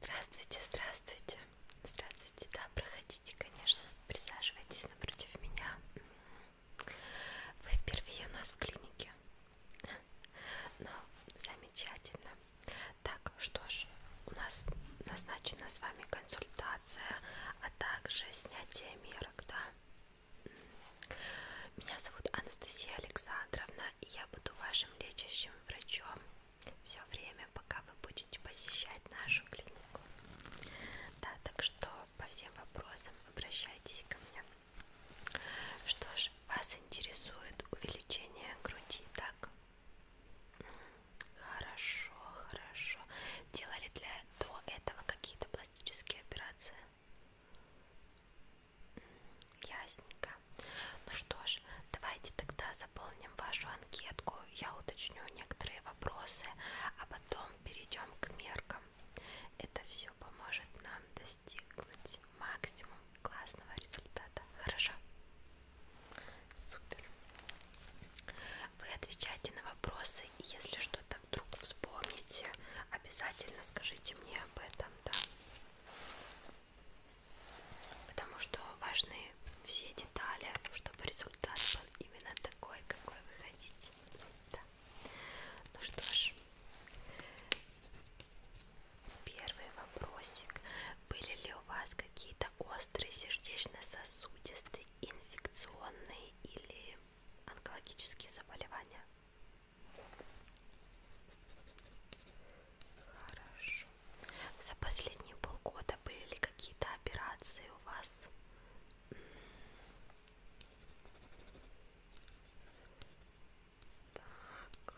Здравствуйте, здравствуйте. Здравствуйте, да, проходите, конечно. Присаживайтесь напротив меня. Вы впервые у нас в клинике. Ну, замечательно. Так, что ж, у нас назначена с вами консультация, а также снятие мерок, да. Меня зовут Анастасия Александровна нужно, и я буду вашим лечащим врачом все время, пока вы будете посещать нашу клинику. Да, так что по всем вопросам обращайтесь ко мне. Что ж, вас интересует увеличение груди, так? Хорошо, хорошо. Делали для до этого какие-то пластические операции? Ясненько. Ну что ж, давайте тогда заполним вашу анкетку. Я уточню некоторые вопросы, а потом перейдем к меркам. Это все поможет нам достигнуть максимум классного результата. Хорошо? Супер. Вы отвечайте на вопросы, и если что-то вдруг вспомните, обязательно скажите мне об этом, да? Потому что важны все детали, чтобы результат был именно такой, какой вы хотите. Да. Ну что ж, первый вопросик. Были ли у вас какие-то острые сердечно-сосудистые, инфекционные или онкологические заболевания? Хорошо. За последние полгода были ли какие-то операции у вас? Так.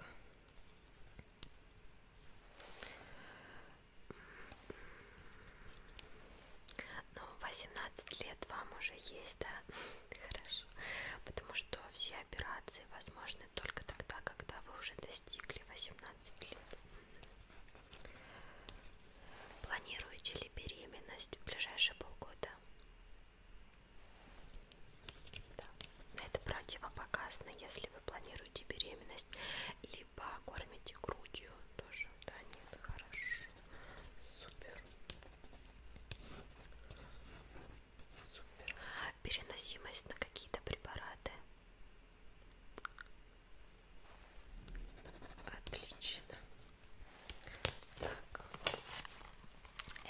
Ну, 18 лет вам уже есть, да? Хорошо сразу, потому что все операции возможны только тогда, когда вы уже достигли 18 лет. Планируете ли беременность в ближайшие полгода? Да. Это противопоказано, если вы планируете беременность, либо кормите грудью тоже. Да, нет, хорошо. Супер. Супер. Переносимость на какие-то препараты. Отлично. Так.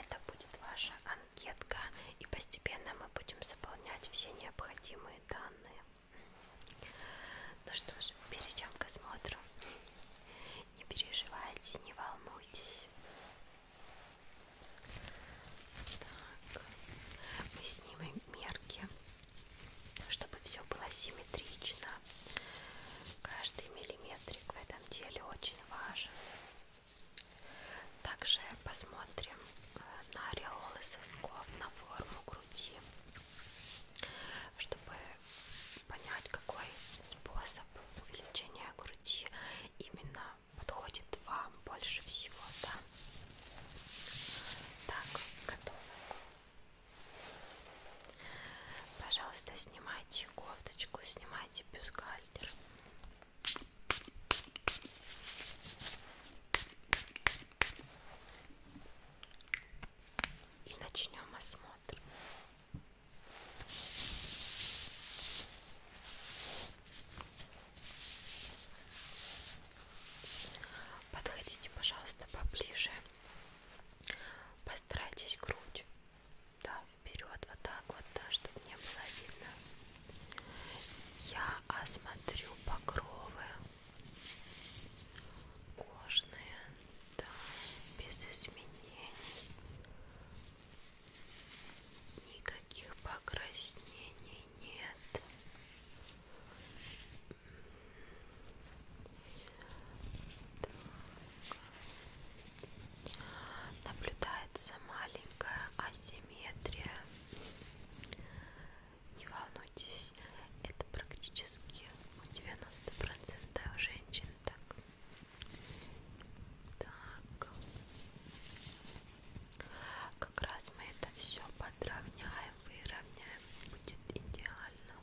Это будет ваша анкетка, и постепенно мы будем заполнять все необходимые данные. Ну что ж, перейдем к осмотру. Не переживайте, не волнуйтесь. Так, мы снимем мерки, чтобы все было симметрично. Каждый миллиметрик в этом деле очень важен. Также посмотрим э, на ореолы сосков, на форму груди, чтобы понять, какой способ увеличения груди именно подходит вам больше всего, да? Так, готово. Пожалуйста, снимайте кофточку, снимайте бюстгальтер. И начнем осмотр. Подходите, пожалуйста, поближе. Постарайтесь грудь. Да, вперед, вот так вот, да, чтобы не было видно. Я осмотрю покровы кожные, да, без изменений, никаких покраснений нет. Так. Наблюдается маленькая асимметрия. Не волнуйтесь, здесь это практически у 90% женщин так. Так. Как раз мы это все подровняем, выровняем. Будет идеально.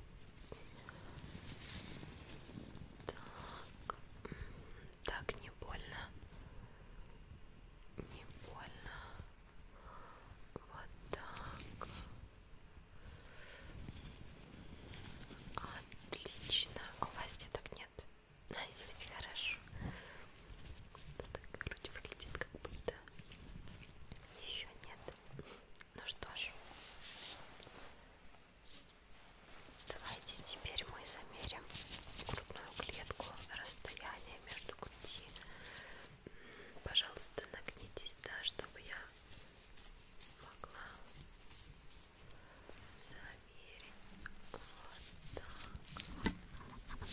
Так. Так, не больно. Не больно. Вот так. Отлично. У вас деток нет? А, есть, хорошо. Ну, так грудь выглядит как будто еще нет. Ну что ж. Давайте теперь мы замерим грудную клетку, расстояние между груди. Пожалуйста, нагнитесь, да, чтобы я могла замерить вот так вот. Так.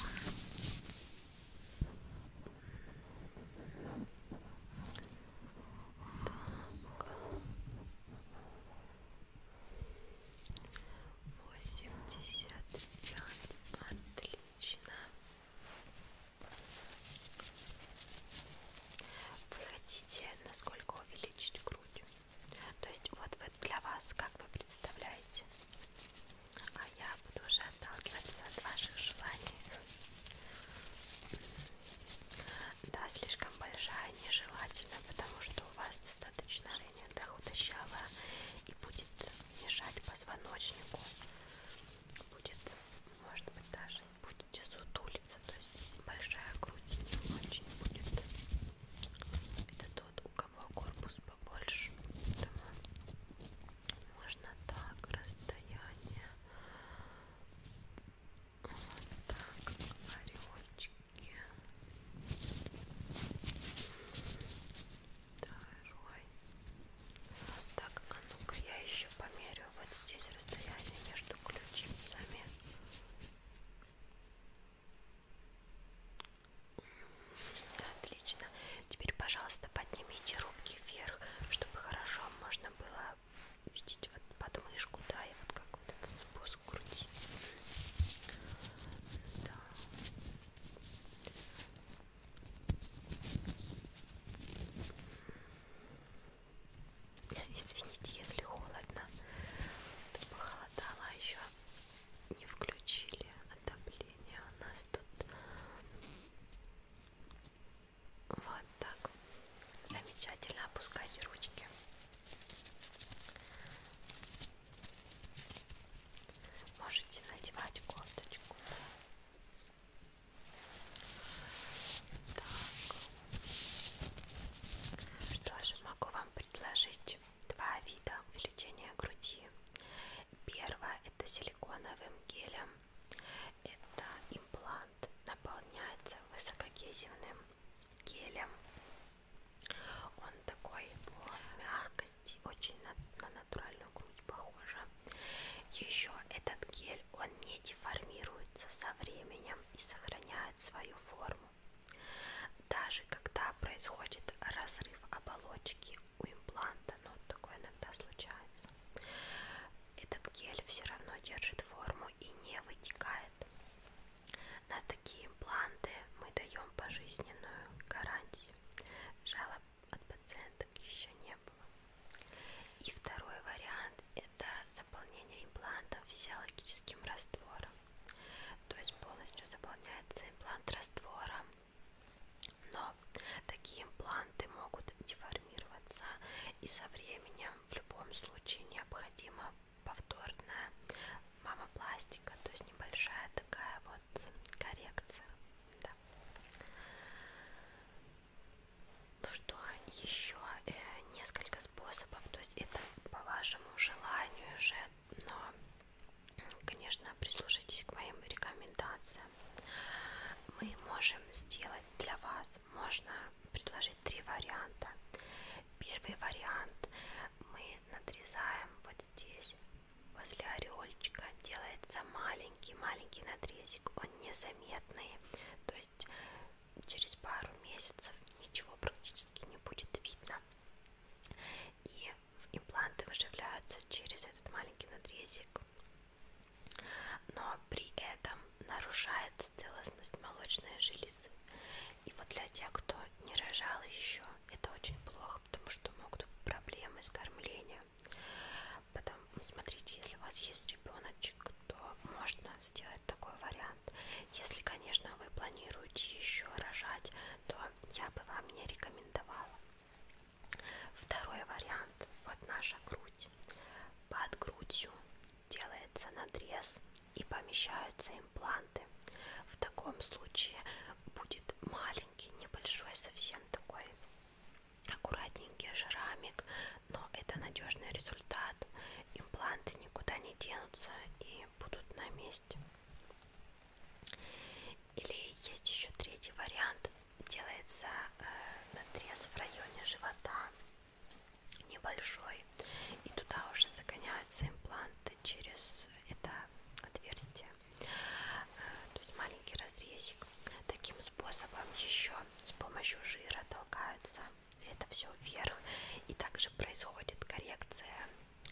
Восемьдесят пять. Отлично. Вы хотите насколько увеличить грудь? То есть вот вы, для вас, как вы представляете? А я буду уже отталкиваться от ваших желаний. Да, слишком большая нежелательно, потому что у вас достаточно линия да, худощавая и будет мешать позвоночнику будет, может быть, даже будете сутулиться, то есть большая грудь не очень будет. Это тот, у кого корпус побольше, поэтому можно так, расстояние, вот так, орелочки второй. Так, а ну-ка я еще померю вот здесь расстояние между ключицами. Отлично. Теперь, пожалуйста, поднимите руки вверх, чтобы хорошо можно было видеть вот подмышку, да, и вот как вот этот спуск груди. Да. Извините, если холодно, то похолодало, а еще не включили отопление у нас тут. Вот так. Замечательно опускайте ручки. Можете надевать кофточку. Так. Что же могу вам предложить? Два вида увеличения груди. Первое это силиконовым гелем. Это имплант наполняется высокогезивным гелем. Он такой мягко кисти, очень на, на натуральную грудь похожа. Еще этот гель, он не деформируется со временем и сохраняет свою форму. Даже когда происходит разрыв оболочки у импланта, но ну, такое иногда случается, этот гель все равно держит форму и не вытекает. На такие импланты мы даем пожизненную гарантию Жалоб от пациенток еще не было. И второй вариант это заполнение имплантов физиологическим раствором. То есть полностью заполняется имплант раствором. Но такие импланты могут деформироваться и со временем в любом случае необходимо повторное мама пластика, то есть небольшая такая вот коррекция. Да. Ну что, еще э, несколько способов, то есть это по вашему желанию уже, но, конечно, прислушайтесь к моим рекомендациям. Мы можем сделать для вас, можно предложить три варианта. Первый вариант мы надрезаем вот здесь возле орельчика делается маленький-маленький надрезик, он незаметный, то есть через пару месяцев ничего практически не будет видно. И импланты выживляются через этот маленький надрезик, но при этом нарушается целостность молочной железы. И вот для тех, кто не рожал еще, это очень плохо ребенка, потому что могут быть проблемы с кормлением. Потом, смотрите, если у вас есть ребеночек, то можно сделать такой вариант. Если, конечно, вы планируете еще рожать, то я бы вам не рекомендовала. Второй вариант. Вот наша грудь. Под грудью делается надрез и помещаются импланты. В таком случае будет маленький, небольшой, совсем такой аккуратненький шрамик, но это надежный результат. Импланты никуда не денутся и будут на месте. Или есть еще третий вариант. Делается э, надрез в районе живота небольшой, и туда уже загоняются импланты это через это отверстие, э, то есть маленький разрезик. Таким способом еще с помощью жира толкаются это все вверх, и также происходит коррекция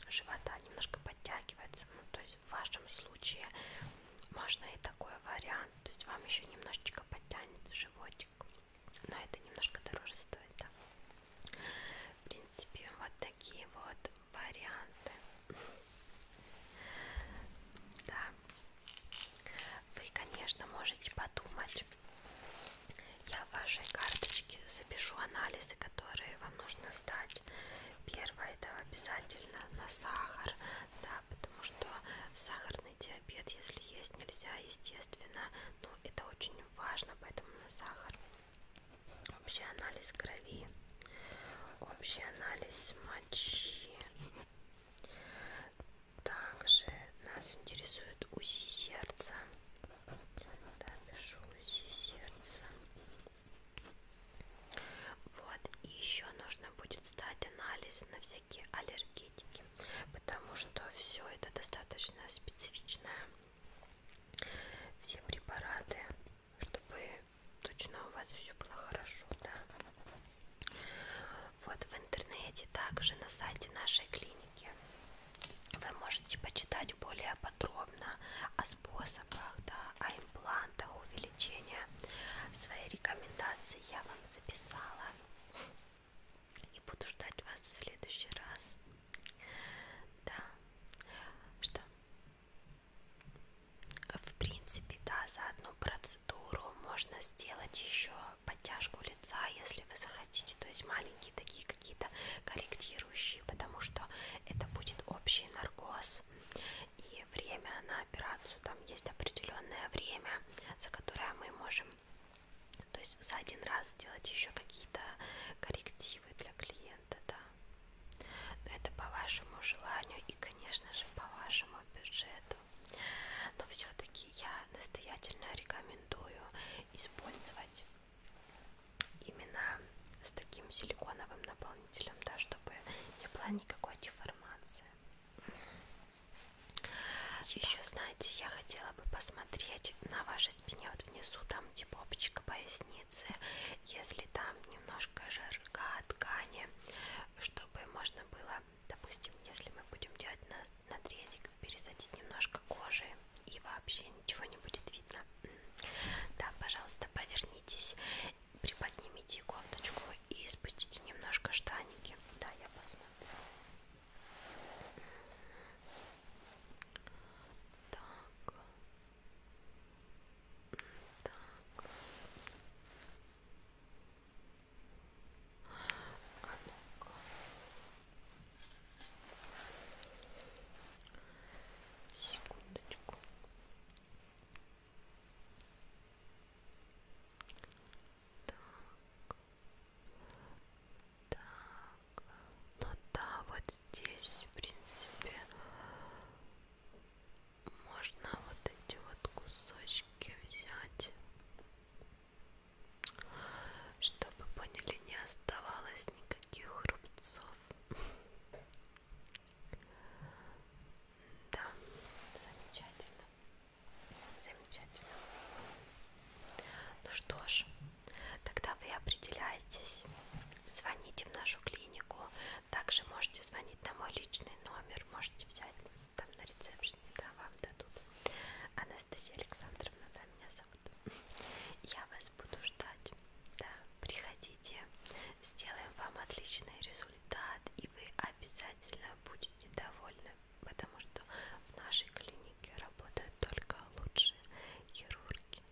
живота, немножко подтягивается. Ну, то есть в вашем случае можно и такой вариант, то есть вам еще немножечко подтянет животик, но это немножко дороже стоит. Да? В принципе, вот такие вот варианты. Да. Вы, конечно, можете подумать. Я в вашей карточке запишу анализы, которые вам нужно сдать. Первое это обязательно на сахар, да, потому что сахарный диабет, если есть, нельзя, естественно, но это очень важно, поэтому на сахар общий анализ крови, общий анализ мочи. Также нас интересует УЗИ сердца. Да, пишу УЗИ сердца. Вот, и еще нужно будет сдать анализ на всякие аллергетики, потому что все это достаточно специфичная все препараты, чтобы точно у вас все было хорошо, да. Вот в интернете также на сайте нашей клиники вы можете почитать более подробно о способах, да, о имплантах увеличения. Свои рекомендации я вам записала. И буду ждать вас в следующий раз. Да. Что? В принципе, да, за одну процедуру можно сделать еще подтяжку лица, если вы захотите. То есть маленькие такие какие-то корректирующие, потому что это будет общий наркоз. И время на операцию, там есть определенное время, за которое мы можем то есть за один раз делать еще какие-то коррективы для клиента, да. Но это по вашему желанию и, конечно же, по вашему бюджету. Но все-таки я настоятельно рекомендую использовать именно с таким силиконовым наполнителем, да, чтобы не была никакой деформации. Еще, знаете, я хотела бы посмотреть на вашей спине вот внизу, там где типа, попочка поясницы, если там немножко жирка ткани, чтобы можно было, допустим, если мы будем делать надрезик, пересадить немножко кожи и вообще ничего не будет видно. М-м. Да, пожалуйста, повернитесь, приподнимите кофточку и спустите немножко штаники. Да, я посмотрю. Так. Так. А ну-ка. Секундочку. Так. Так, ну да, вот здесь, в принципе, можно вот эти вот кусочки взять, чтобы, поняли, не оставалось никаких рубцов. Да, замечательно. Замечательно. Ну что ж, тогда вы определяетесь. Звоните в нашу клинику. Также можете звонить на мой личный номер. Можете взять там на рецепшене, да, вам дадут. Анастасия Александровна, да, меня зовут. Я вас буду ждать. Да, приходите. Сделаем вам отличный результат, и вы обязательно будете довольны потому что в нашей клинике работают только лучшие хирурги,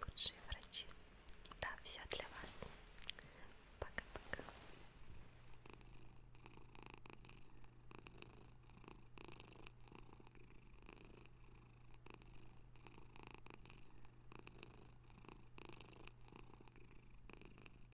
лучшие врачи. Да, все для вас. Пока-пока.